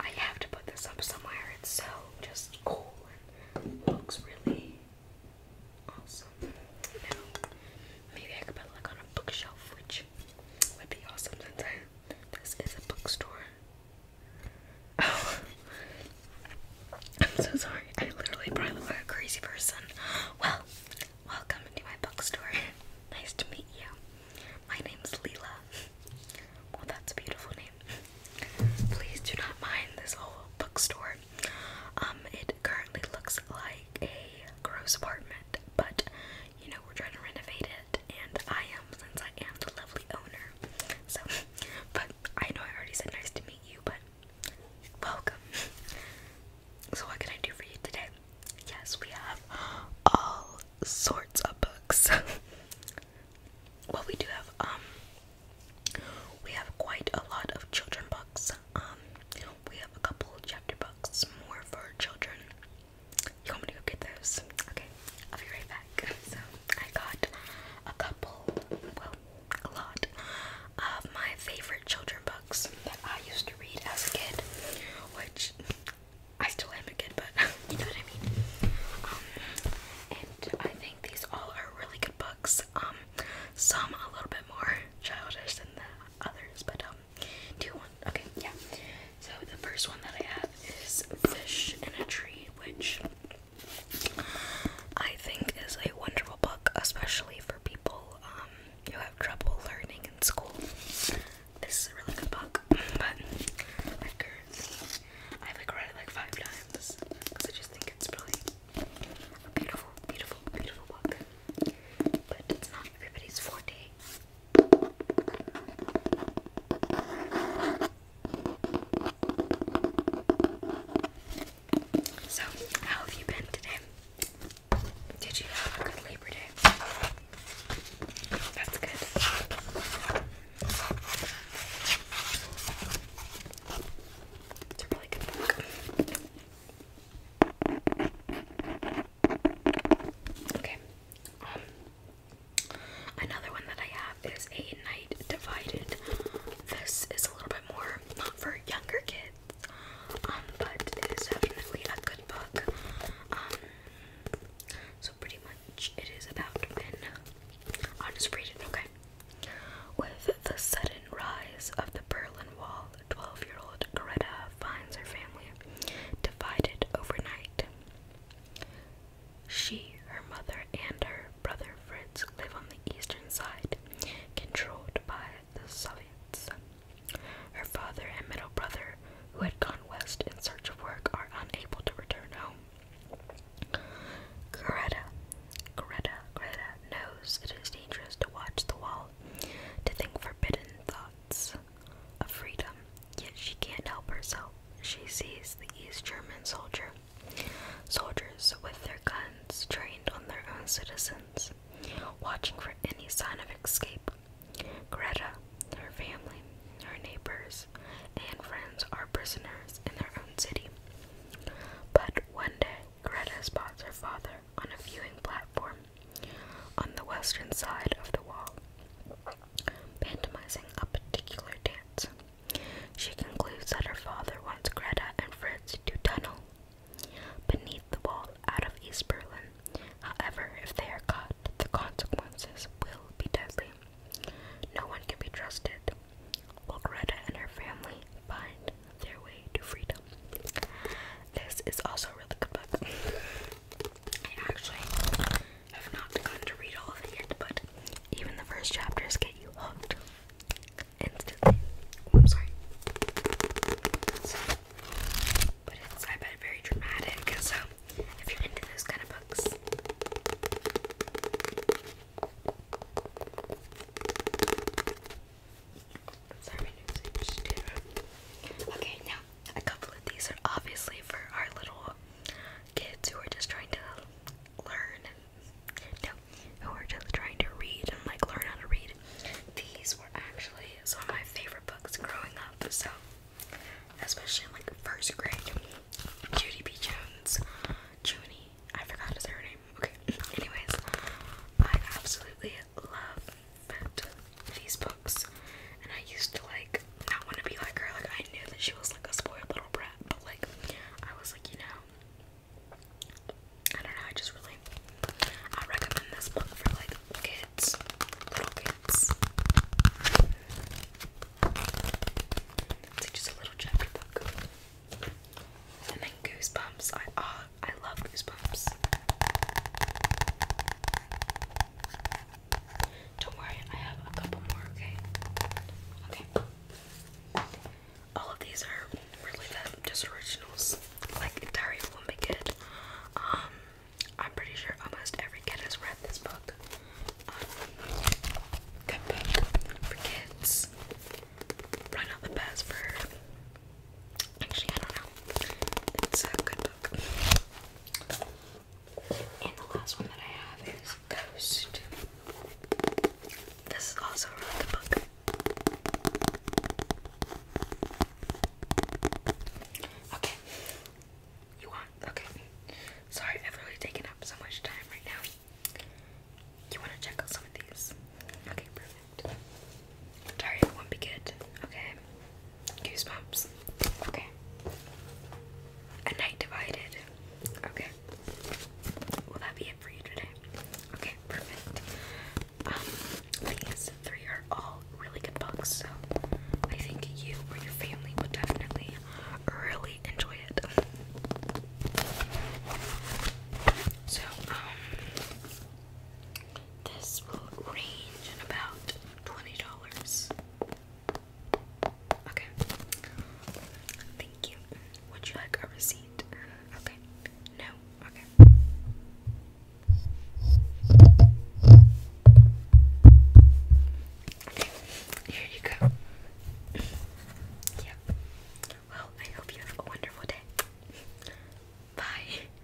I have to put this up somewhere. It's so just cool and looks really awesome. maybe I could put it like on a bookshelf, which would be awesome since this is a bookstore. Oh. I'm so sorry. I literally probably look like a crazy person. Well, welcome to my bookstore. nice to meet you. My name's Leela. Well, that's a beautiful name. Please do not mind this whole bookstore. Um, it currently looks like a gross apartment, but you know we're trying to renovate it, and I am since I am the lovely owner. So, but I know I already said nice to meet you, but Welcome. So, what can I do for you today? Yes, we have all sorts of books. well, we do have um, we have quite a lot of children books. Um, we have a couple chapter books more for children. You want me to go get those? Okay, I'll be right back. So I got a couple a lot of my favorite children books that I used to read as a kid, which I still am a kid, but you know what I mean. Um, and I think these all are really good books. Um, some a little bit more childish than the others, but um, do you want? Okay, yeah. So the first one that I have is Fish in a Tree, which I think is a wonderful book, especially for people um, who have trouble learning in school. This is a really good book, but I've like read it like five times because I just think it's really a beautiful, beautiful, beautiful book. But it's not everybody's forte. So, how have you been today? Did you have a good Labor Day? That's good. It's a really good book. Okay. Um, Another one that I have is A Night Divided. This is a little bit more not for younger kids, um, but it is definitely a good book. Um, so pretty much it is about when I'll just read it, okay? With the sudden rise of the Berlin Wall, 12 year old Greta finds her family divided overnight. She, her mother, and her brother Fritz live on the eastern side, controlled by the Soviets. Her father and middle brother, who had gone west in search of work, are unable to return home. Greta, Greta, Greta knows it is dangerous to watch the wall, to think forbidden thoughts of freedom, Yet she can't help herself. She sees the East German soldier. Soldiers with their guns trained on their own citizens, watching for any sign of escape. Greta, her family, her neighbors, and friends are prisoners in their own city. But one day, Greta spots her father on a viewing platform on the western side of the wall pantomiming a particular dance. She concludes that her father wants Greta and Fritz to tunnel beneath the wall out of East Berlin. However, if they are caught, the consequences will be deadly. No one can be trusted. Will Greta and her family find their way to freedom? This is also a really good book. actually I've not gone to read all of it yet, but even the first chapters get you hooked instantly. Oh, I'm sorry. but it's, I bet, very dramatic, so if you're into those kind of books. Okay, now a couple of these are obviously for our little kids who are just trying to learn no, who are just trying to read and like learn how to read. These were actually some of my favorite books growing up, so especially in like first grade. Judy B. Jones, Junie, I forgot his her name. Okay, anyways, I absolutely love these books. And I used to like not want to be like her. Like I knew that she was like a spoiled little brat, but like I was like, you know, I don't know. I just really I recommend this book for like kids, little kids. It's just a little chapter book. And then Goosebumps. I uh, I love Goosebumps. Don't worry, I have a couple more, okay? Okay. All of these are really them, just originals. Like Diary of a Wimpy um, I'm pretty sure almost every kid has read this book. Um, good book for kids. Probably not the best for. Actually, I don't know. It's a good book. And the last one that I have is Ghost. This is also a really good book. Okay. You want? Okay. Sorry, I've really taken up so much time right now. You want to check out some of these? Okay, perfect. Target won't be good. Okay. Goosebumps. Okay. A night divided. Okay. Will that be it for you today? Okay, perfect. Um, these three are all really good books, so I think you or your family would definitely really enjoy it. So, um, this will range in about twenty dollars. Okay. Thank you. Would you like a receipt? Okay. No. Okay. Okay. Here you go. yeah. Well, I hope you have a wonderful day. Bye.